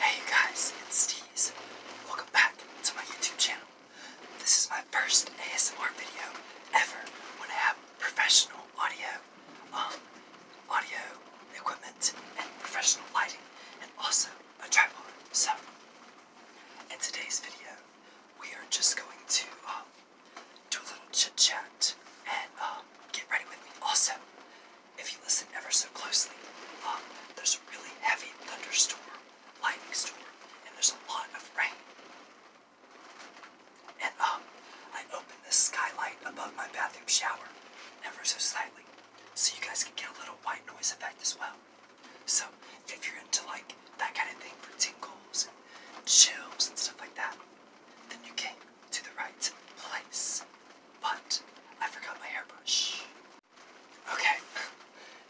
Hey guys, it's Steez. Welcome back to my YouTube channel. This is my first ASMR video ever when I have professional audio, um, audio equipment and professional lighting and also a tripod. So, in today's video, we are just going to um, do a little chit chat and um, get ready with me. Also, if you listen ever so closely, um, there's a really heavy thunderstorm, lightning storm, and there's a lot of rain. And um, I open the skylight above my bathroom shower, ever so slightly, so you guys can get a little white noise effect as well. So if you're into like that kind of thing for tingles and chills and stuff like that, then you came to the right place. But I forgot my airbrush. Okay,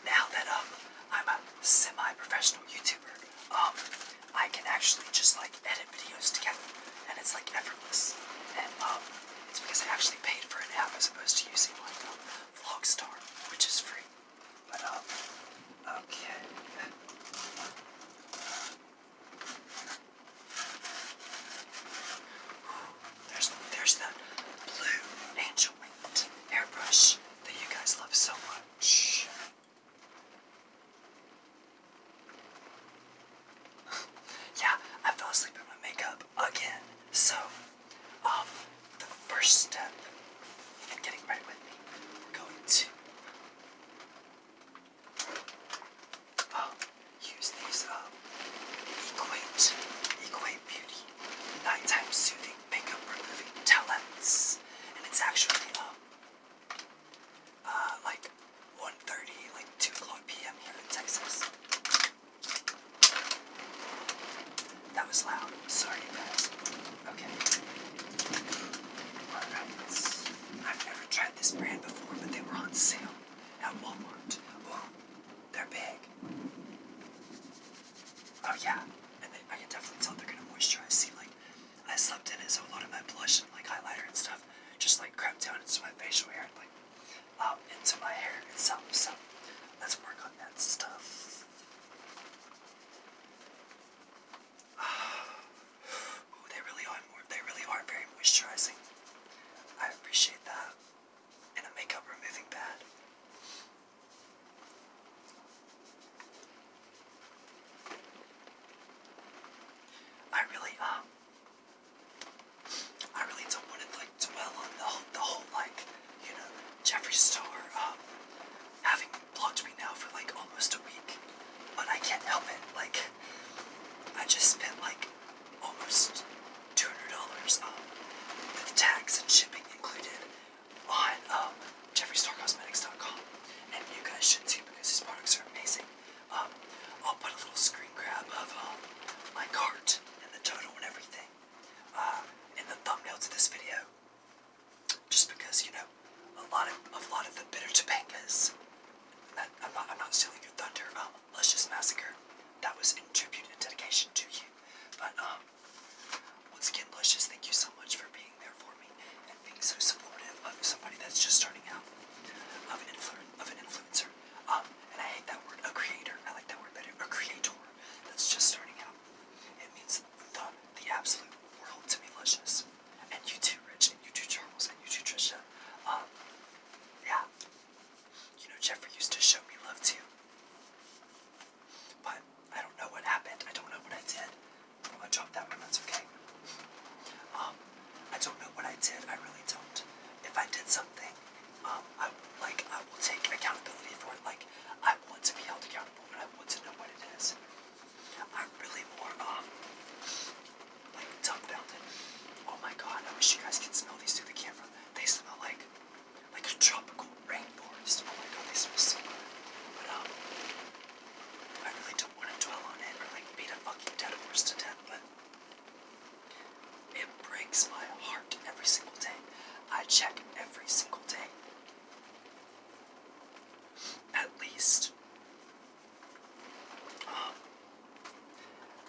now that um I'm a semi-professional YouTuber, um I can actually just like edit videos together, and it's like effortless. And um it's because I actually paid for an app as opposed to using like Vlogstar, which is free. But um okay. There's, there's the blue angel winged airbrush that you guys love so much. yeah, I fell asleep in my makeup again. So, um, the first step in getting ready with me, we're going to um, use these um, Equate, Equate Beauty Nighttime Soothing Makeup Removing Talents. And it's actually um, uh, like 1.30, like 2 o'clock p.m. here in Texas. That was loud. Sorry, guys. Okay. Alright. I've never tried this brand before, but they were on sale at Walmart. Ooh, they're big. Oh yeah, and they, I can definitely tell they're gonna moisturize. See, like I slept in it, so a lot of my blush and like highlighter and stuff just like crept down into my facial hair and like um, into my hair itself. So let's work on that stuff. Ooh, they really are they really are very moisturizing. I appreciate that. And a makeup removing pad. I really um I really don't want to like dwell on the the whole like, you know, Jeffree Star um having blocked me now for like almost a week. But I can't help it, like I just spent like almost $200 um, with tax and shipping included on um, JeffreyStarCosmetics.com. And you guys should see because these products are amazing. Um, I'll put a little screen grab of um, my cart and the total and everything uh, in the thumbnail of this video. Just because, you know, a lot of, a lot of the bitter tobaccos I'm not, stealing your thunder. Um, Luscious Massacre, that was in tribute and dedication to you. But um, once again, Luscious, thank you so much for being there for me and being so supportive of somebody that's just starting out, of an, influ of an influencer. Um, and I hate that word, a creator. I like that word better, a creator that's just starting out. It means the, the absolute world to me, Luscious. And you too, Rich, and you too, Charles, and you too, Trisha. Um, yeah. You know, Jeffrey used to show me love too. But I don't know what happened. I don't know what I did. I'm drop that one, that's okay. Um, I don't know what I did. I really don't. If I did something, um, I like I will take accountability for it. Like I want to be held accountable, and I want to know what it is. I'm really more um like duck fountain. Oh my god, I wish you guys could smell these through the camera. They smell like like a tropical rainforest. Oh my god, they smell so good. But um I really don't want to dwell on it or like beat a fucking dead horse to death, but it breaks my heart every single day. I check every single day. At least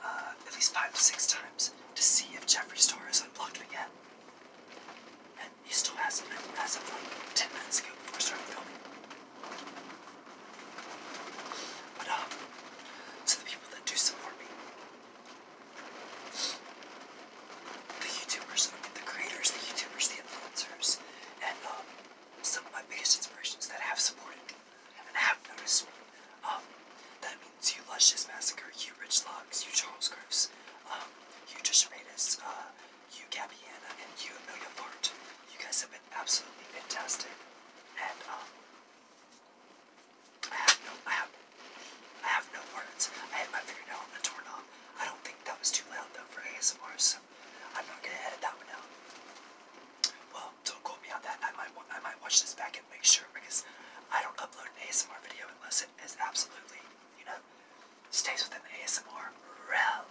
uh, at least five to six times to see if Jeffrey's door is unblocked again. And he still hasn't as of like 10 minutes ago before starting filming. But, um, to the people that do support me, the YouTubers, the creators, the YouTubers, the influencers, and um, some of my biggest inspirations that have supported and Abner's. Um, that means you Luscious Massacre, you Rich Locks, you Charles Gross, um, you Trisha Raytas, uh, you Gabby Anna, and you Amelia Bart. You guys have been absolutely fantastic. And um I have no I have I have no words. I hit my fingernail on the doorknob. I don't think that was too loud though for ASMR, so I'm not gonna edit that one out. Well, don't quote me on that. I might I might watch this back and make sure because I don't upload an ASMR video unless it is absolutely, you know, stays within the ASMR realm.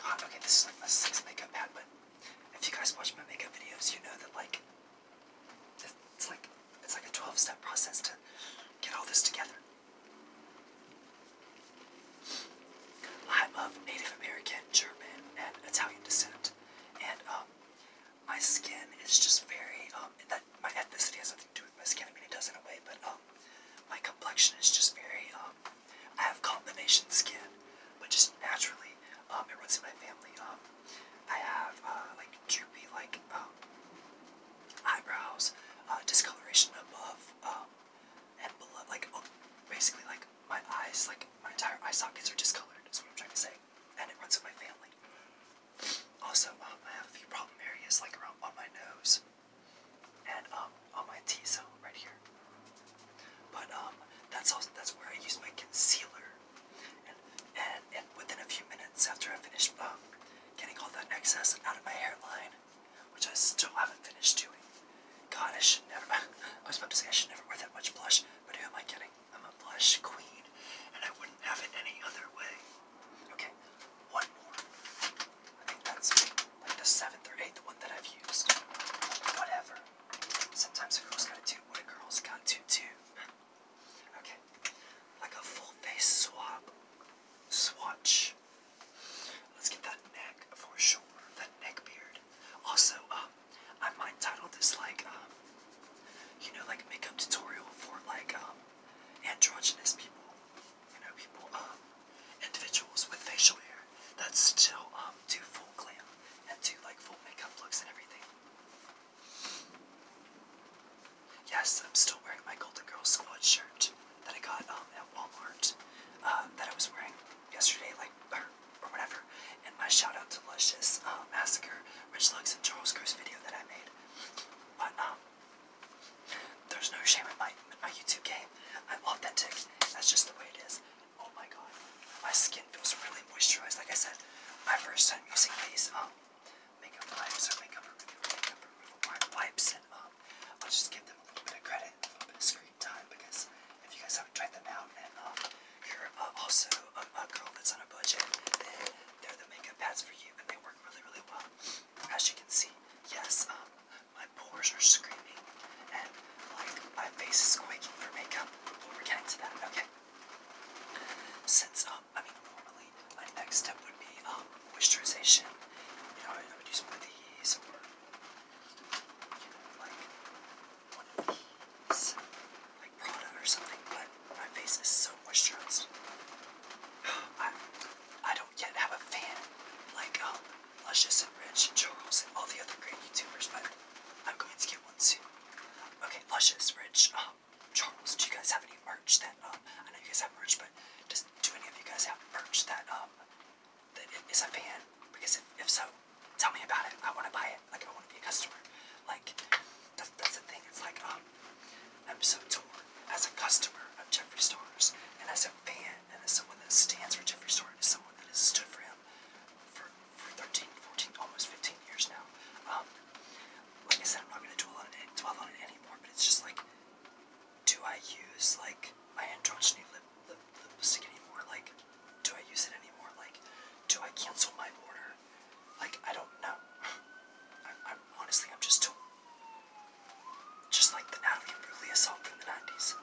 God, okay, this is like my sixth makeup pad, but if you guys watch my makeup videos, you know that like it's like it's like a 12-step process to get all this together. I'm of Native American, German, and Italian descent, and um, my skin is just very um, my ethnicity has nothing to do with my skin. I mean, it does in a way, but um, my complexion is just very I have combination skin, but just naturally, um, it runs in my family. I have uh, like droopy like eyebrows, uh, discoloration above and blood, like oh, basically like my eyes, like my entire eye sockets are discolored. Is what I'm trying to say, and it runs in my family. Also, um, I have a few problem areas like around on my nose and um, on my T zone right here. But um, that's also that's where I use my concealer, and and within a few minutes after I finish um, getting all that excess out of my hairline, which I still haven't finished doing. God, I should never. I was about to say I should never wear that much blush, but who am I kidding? I'm a blush queen, and I wouldn't have it any other way. Okay, one more. I think that's like the seventh or eighth one that I've used. Whatever. Sometimes a girl's gotta do what a girl's got to do. Okay, like a full face swab swatch. Let's get that neck for sure. That neck beard. Also, um, I might title this like, um, you know, like makeup tutorial for like um, androgynous people. You know, people, individuals with facial hair that still do full glam and do like full makeup looks and everything. Yes, I'm still wearing my Golden Girls squad shirt that I got um, at Walmart uh, that I was wearing yesterday, like or, or whatever. And my shout out to Luscious uh, Massacre, Rich Lugs, and Charles Cruz video that I made. But um, there's no shame in my my YouTube game. I'm authentic. That's just the way it is. Oh my god, my skin feels really moisturized. Like I said, my first time using these um, makeup wipes makeup wipes and um, I'll just give them a little bit of credit, a little bit of screen time, because if you guys haven't tried them out, and um, you're uh, also a, girl that's on a budget, then they're the makeup pads for you, and they work really, really well. As you can see, yes, um, my pores are screaming, and my face is quaking for makeup. But we're getting to that, okay? Since um, I mean normally my next step would be um moisturization you know, I, would use one of these you know, like one of these, like Prada or something, but my face is so moisturized. I, I don't yet have a fan like um, Luscious and Rich and Charles and all the other great YouTubers, but I'm going to get one soon. Okay, Luscious, Rich, um, Charles, do you guys have any merch that, um, I know you guys have merch, but does do any of you guys have merch that um, that is a fan? Because if, so, tell me about it. I want to buy it. Like I want to be a customer. Like that's, the thing. It's like um I'm so torn as a customer of Jeffree Star's and as a fan and as someone that stands for Jeffree Star and as someone that has stood for him for, for 13, 14, almost 15 years now. Um, like I said, I'm not going to dwell on it, dwell on it anymore, but it's just like do I use like my androgyny lip, lip, lipstick anymore? Like, do I use it anymore? Like, do I cancel my order? Like, I don't know. I'm, honestly, I'm just too, just like the Natalie Imbruglia song from the '90s.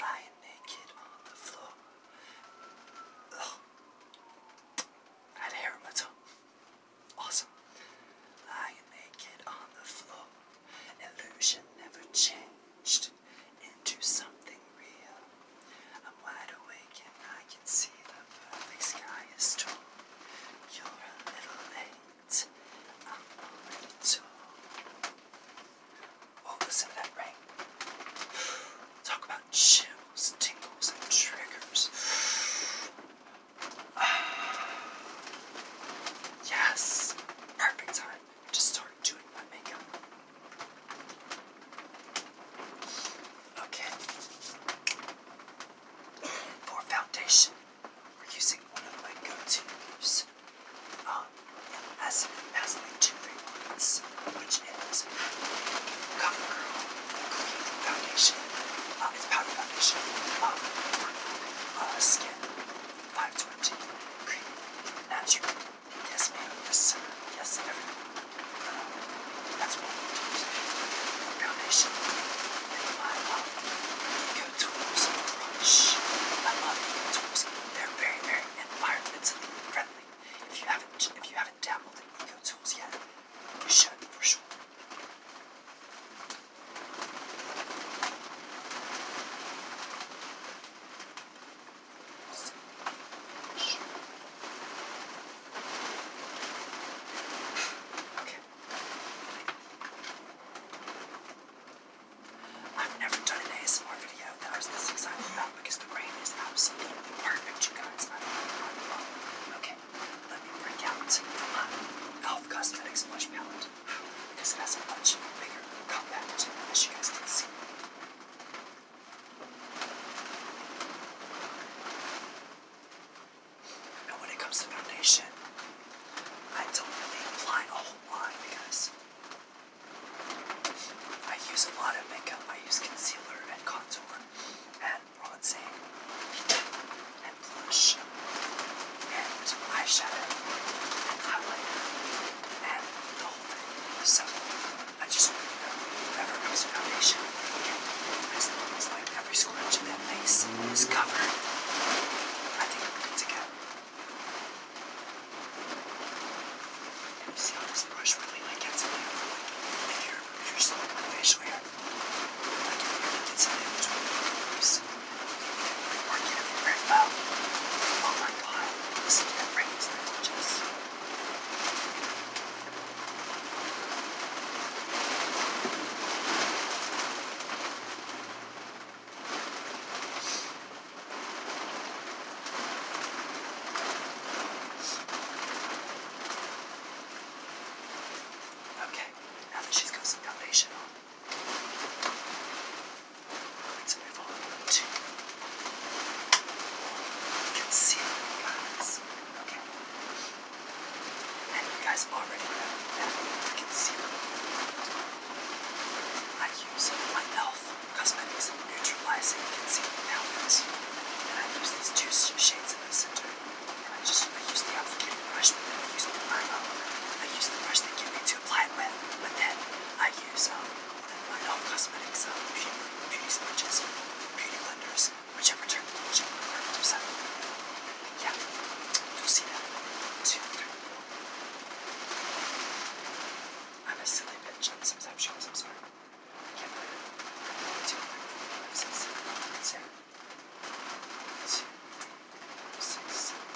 Lying naked on the floor. I had hair on my tongue. Awesome. Lying naked on the floor. Illusion never changed into something real. I'm wide awake and I can see the perfect sky is tall. You're a little late. I'm already told. Oh, listen to that rain. Talk about chills, tingles, and triggers. yes! Perfect time to start doing my makeup. Okay. For foundation, we're using one of my go-to um, as, as the two big which is CoverGirl foundation. Uh, it's powder foundation. Um, skin 520 cream natural. Yes, ma'am. Yes, sir. Yes, everything. Uh, that's one we use. Foundation. And Eco Tools Brush. I love Eco Tools. They're very, very environmentally friendly. If you haven't, if you haven't dabbled in Eco Tools yet. You should, for sure. I've never done an ASMR video that was this excited about because the rain is absolutely perfect, you guys. Okay let me break out my Elf Cosmetics blush palette because it has a much bigger compact as you guys can see. And when it comes to foundation, I don't really apply a whole lot because I use a lot of makeup. I use concealer and contour, and and bronzing and blush and eyeshadow and highlighter and the whole thing. So I just want you to know whoever comes to foundation, as long as like every scrunch in that face is covered, I think we're good to go. And you see how this brush really like gets in there. Like if you're if you're someone with facial hair. Get some inventory Working very well. Oh my god, listen to that ring, it's gorgeous. Okay, now that she's got some foundation on, I'm to move on to concealer. Okay. And you guys already know that concealer. I use my e.l.f. Cosmetics Neutralizing concealer Palette. And I use these two shades in the I just I use the applicator brush, but then I use the primer. I use the brush they give me to apply it with, but then I use um, one of Cosmetics um, beauty, beauty sponges, beauty blenders, whichever term you use on their Yeah, you'll see that. 2 three. I'm a silly bitch on some sections, I'm sorry. I can't believe two, six, seven.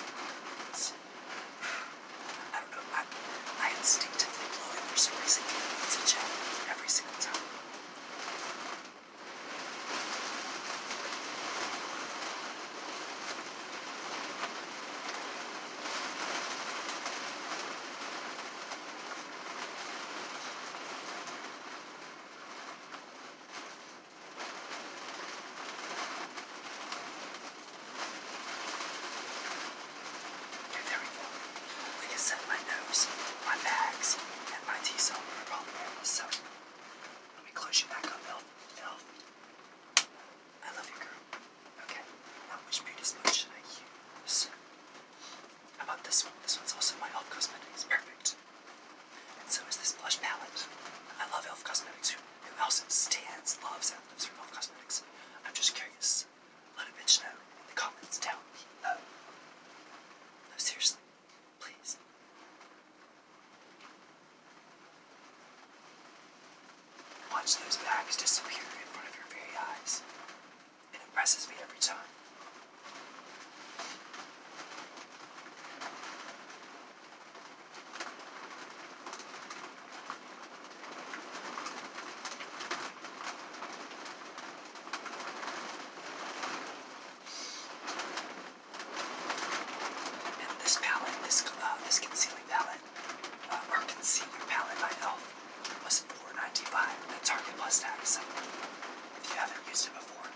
I don't know. I, I instinctively blow it for some reason. It's a gel every single time. Okay, there we can set my nose, my bags, and my T cell were So let me close you back up, I love you, girl. Okay. Now which beauty spot should I use? How about this one? This one's also my e.l.f. Cosmetics. Perfect. And so is this blush palette. I love e.l.f. Cosmetics. Who, who else stands, loves, and lives for e.l.f. Cosmetics? I'm just curious. Let a bitch know in the comments down below. No, seriously. Please. Watch those bags disappear in front of your very eyes. It impresses me every time. And this palette, this uh, this concealing palette, uh, or concealer palette by Elf, was $4.95 at Target Plus Tax. If you haven't used it before,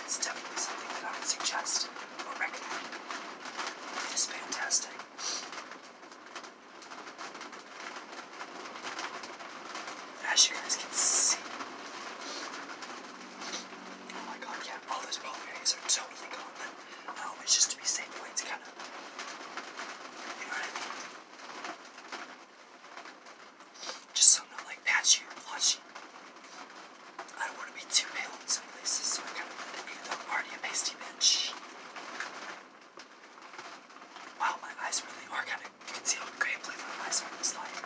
it's definitely something that I would suggest or recommend. It is fantastic. As you guys can see, oh my god, yeah, all those ball bearings are totally gone, but um, it's just to be safe, the way it's kind of, you know what I mean? Just so i not like patchy or blotchy. I don't want to be too pale in some places, so I kind of want to be the party a pasty bitch. Wow, my eyes really are kind of. You can see how gray and my eyes are in this light.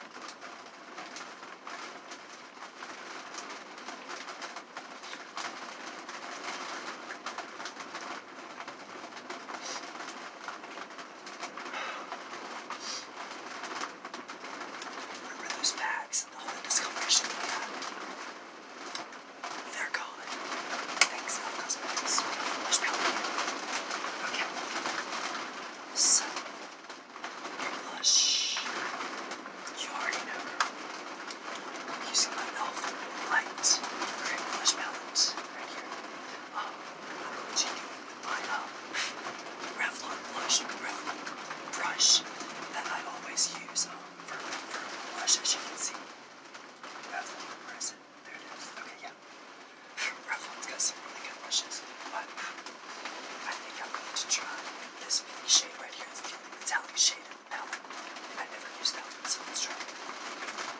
Remember those bags and all the discoloration we had? They're gone. Thanks, Elf Cosmetics. Push me Okay. So, your blush. You already know, girl. Using my Elf Light Cream Blush Palette right here. Revlon blush, Revlon brush that I always use um, for, as you can see. Revlon, where is There it is. Okay, yeah. Revlon's got some really good brushes, but I think I'm going to try this pink shade right here. It's a metallic shade in the palette. never used that one, so let's try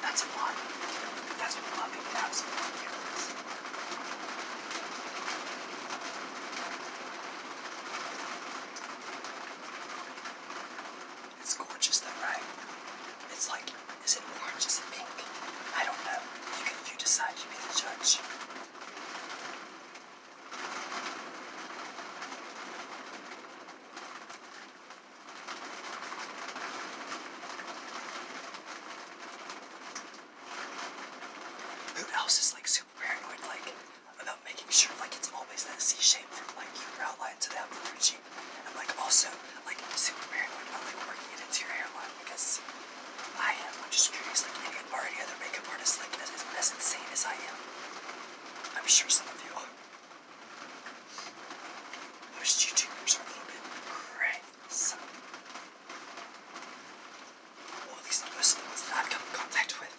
That's a lot. that's what loving of is. It's gorgeous though, right? It's like, is it orange? Is it pink? I don't know. You can you decide, you be the judge. Who else is like super paranoid like about making sure like it's always that C shape from like your outline to the upper cheek? And like also like super paranoid about like working it into your hairline because I am. I'm just curious like any or any other makeup artists like as, as insane as I am. I'm sure some of you are. Most YouTubers are a little bit crazy. Or at least most of the ones i come in contact with.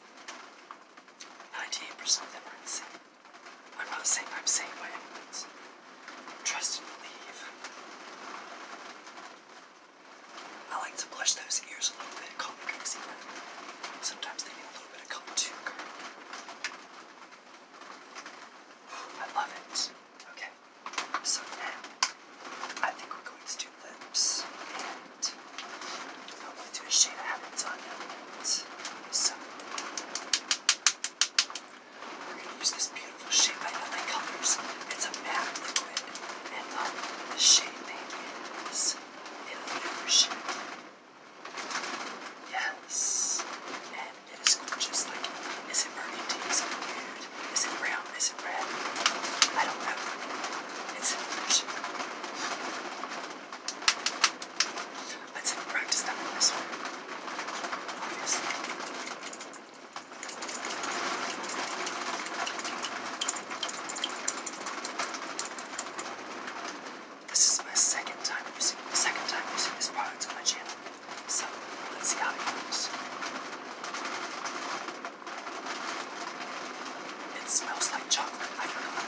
98% of them are insane. I'm not saying I'm sane by any Trust and believe. I like to blush those ears a little bit, call me crazy, but sometimes they need a little bit of color too, I love it. Okay, so I think we're going to do lips, and I'm going to do a shade I have So we're going to use this beautiful shade by LA Colors. It's a matte liquid, and um, the shade name is Yes. And it is gorgeous. Like, is it burgundy? Is it nude? Is it brown? Is it red? I don't know. It's Let's practice that on this is my second time using second time using this product on my channel. So let's see how it goes. It smells like chocolate, Wow.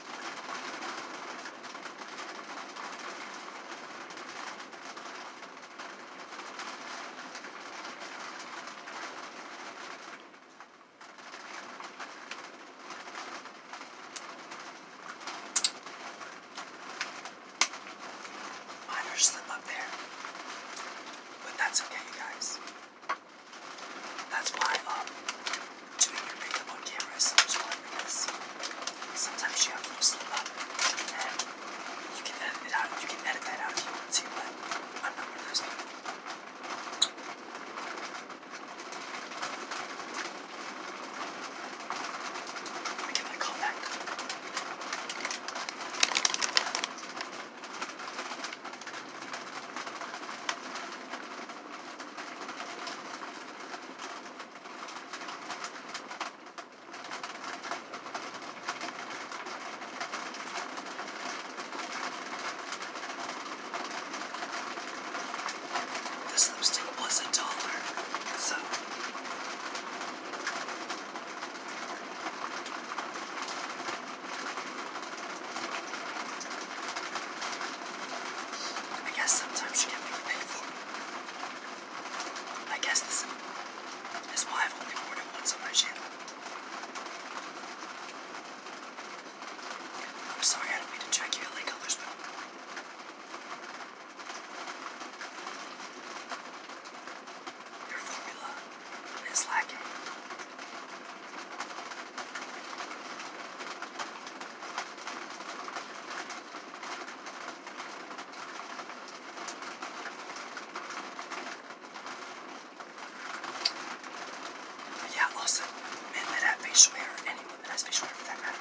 Minor slip up there, but that's okay, you guys. That's why um, doing your makeup on camera sometimes you have to slip up and you can edit it out. You can edit that out if you I'm not one of those people. I call back. This lipstick was a dollar, so. I guess sometimes you get what you pay for. I guess this is why I've only worn it once on my channel. I'm sorry I don't check your LA colors, but your formula is lacking. But yeah, also, men that have facial anyone that has facial for that matter.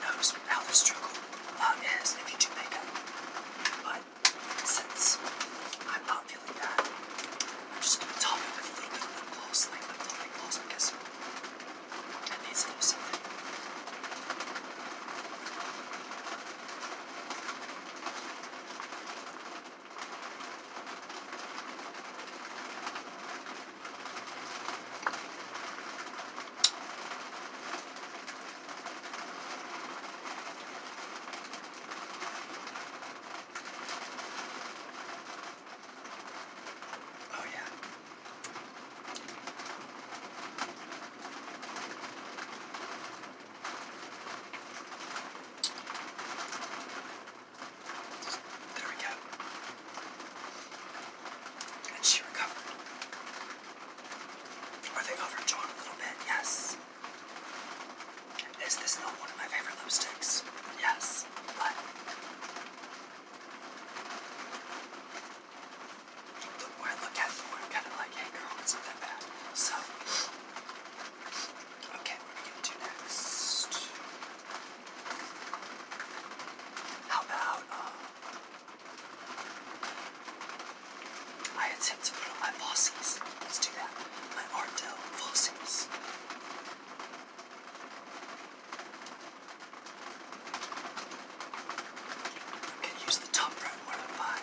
Knows how the struggle uh, if you do makeup. But since I'm not feeling bad, I'm just going to top it with a little bit of lip gloss, like lip gloss, lip gloss because it needs a little something. Oh, yeah. There we go. And she recovered. Are they overdrawn a little bit? Yes. Is this not one of my favorite lipsticks? Yes, but the more I look at it, the more I'm kind of like, hey girl, it's not that bad. So, okay, what are we do next? How about, uh, I attempt to put on my falsies. Let's do that. My Ardell falsies. I'm use the top right one of mine.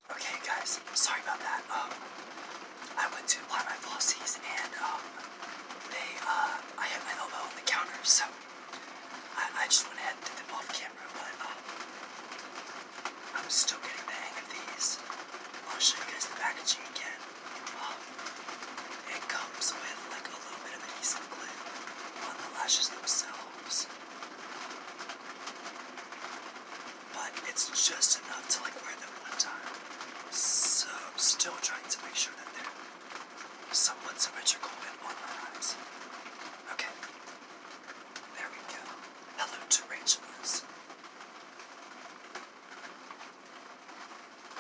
Okay, guys, sorry about that. Um, I went to apply my falsies and um, they, uh, I hit my elbow on the counter, so I, I just went ahead and did them off camera, but um, I'm still getting the hang of these. I'll show you guys the packaging again. Um, it comes with like a little bit of adhesive on the lashes themselves but it's just enough to like wear them one time. So I'm still trying to make sure that they're somewhat symmetrical and on my eyes. Okay. There we go. Hello tarantulas.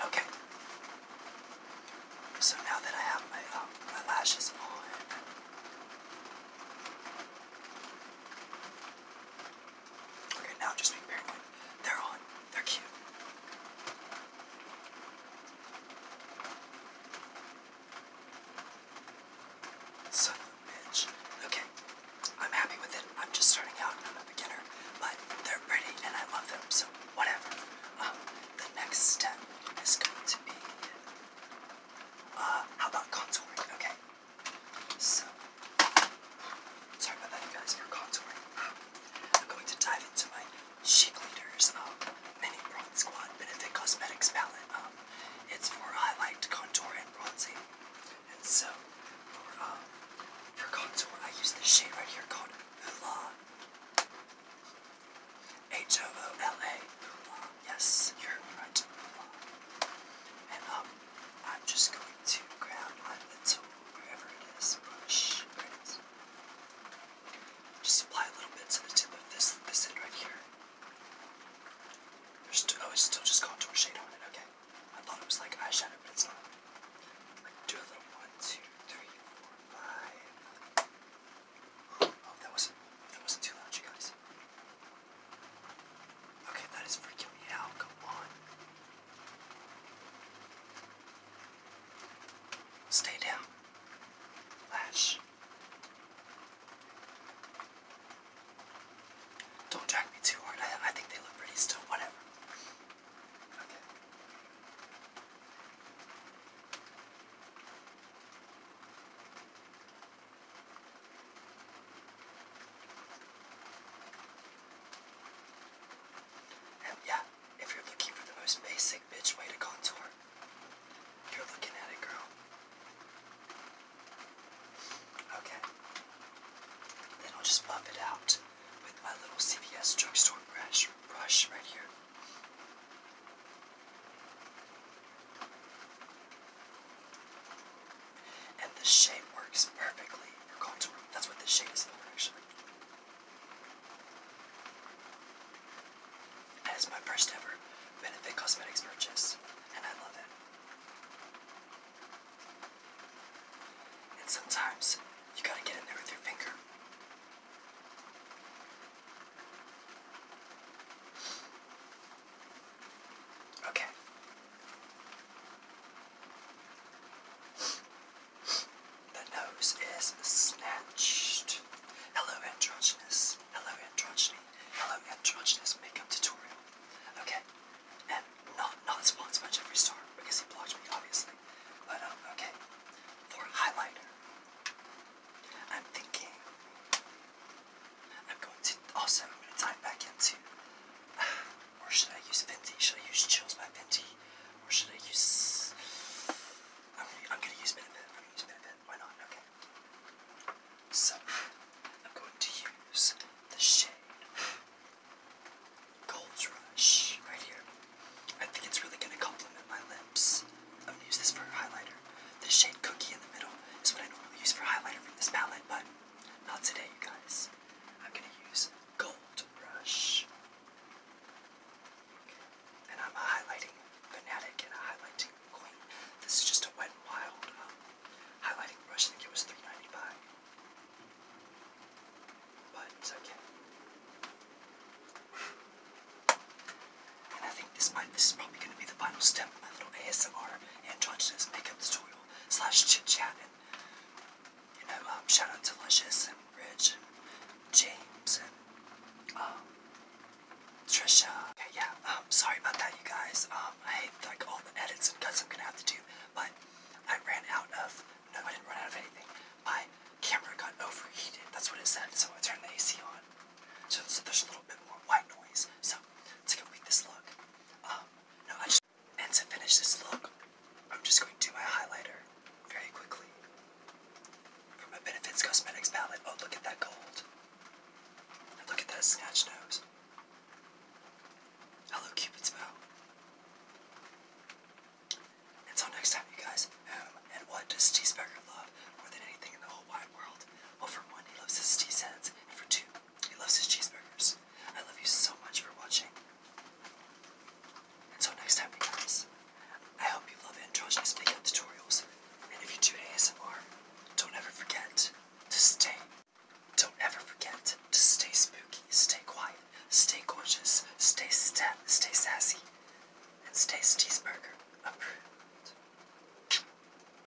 Okay. So now that I have my, um, my lashes on, Okay, now just make paranoid. They're on. They're cute. Son bitch. Okay, I'm happy with it. I'm just starting out I'm a beginner, but they're pretty and I love them, so whatever. Um, the next step is going to be. Uh, how about contouring? Okay, so, sorry about that, you guys, for contouring. Um, I'm going to dive into my Chic Leaders um, Mini Bronze Squad Benefit Cosmetics palette. Um, it's for highlight, contour, and bronzing. And so, for, um, for contour, I use this shade right here called Hoola. H-O-O-L-A. Yes, you're right. Hoola. And um, I'm just going to grab my little, wherever it is, brush. There Just apply a little bit to the tip of this, this end right here. There's oh, it's still just contour shade on it, okay. I thought it was like eyeshadow, but it's not. Like, do a little one, two, three, four, five. Oh, that wasn't, that wasn't too loud, you guys. Okay, that is freaking me out. Come on. Stay down. Flash. Don't drag me too hard. I think they look pretty still. Whatever. Okay. And yeah, if you're looking for the most basic bitch way to contour, you're looking at it, girl. Okay. Then I'll just buff it out with my little CVS drugstore brush, brush right here. And the shape works perfectly for contour. That's what the shade is for, actually. that is my first ever Benefit Cosmetics purchase, and I love it. And sometimes you gotta get in there with your finger. Okay, the nose is snatched. Hello, androgynous. Hello, androgyny. Hello, androgynous makeup tutorial. Okay, and not not sponsored by Jeffree Star because he blocked me, obviously. But um, okay, for highlighter, I'm thinking I'm going to also i back into or should I use Fenty? Should I use Chills by Fenty? Or should I use I'm gonna, use Benefit. I'm gonna use Benefit. Why not? Okay. So I'm going to use the shade Gold Rush right here. I think it's really gonna complement my lips. I'm gonna use this for a highlighter. The shade Cookie in the middle is what I normally use for highlighter from this palette, but not today, you guys, I'm going to use Gold Brush. And I'm highlighting Fanatic and highlighting Queen. This is just a Wet Wild um, highlighting brush. I think it was $3.95. okay. And I think this might, this is probably going to be the final step of my little ASMR her and George in makeup tutorial slash chit chat and you know um, shout out to Luscious and Rich and James and um, Trisha. yeah. Um, sorry about that, you guys. I hate like all the edits and cuts I'm gonna have to do, but I ran out of no, I didn't run out of anything. My camera got overheated. That's what it said. So I turned the AC on. So, there's a little bit more white noise. So take a go with this look. Um, and to finish this look, I'm just going to do my highlighter very quickly. From my Benefits Cosmetics palette. Oh, look at that gold. look at that snatched nose. Hello, Cupid's bow. Until next time, you guys, and what does T. Specker love more than anything in the whole wide world? Well, for one, he loves his T. Sens, and for two, he loves his cheeseburgers. I love you so much for watching. Until next time, guys, I hope you love androgynous makeup tutorials. And if you do ASMR, don't ever forget to stay. Don't ever forget to stay spooky, stay quiet, stay gorgeous, stay stat, stay sassy, and stay cheeseburger approved.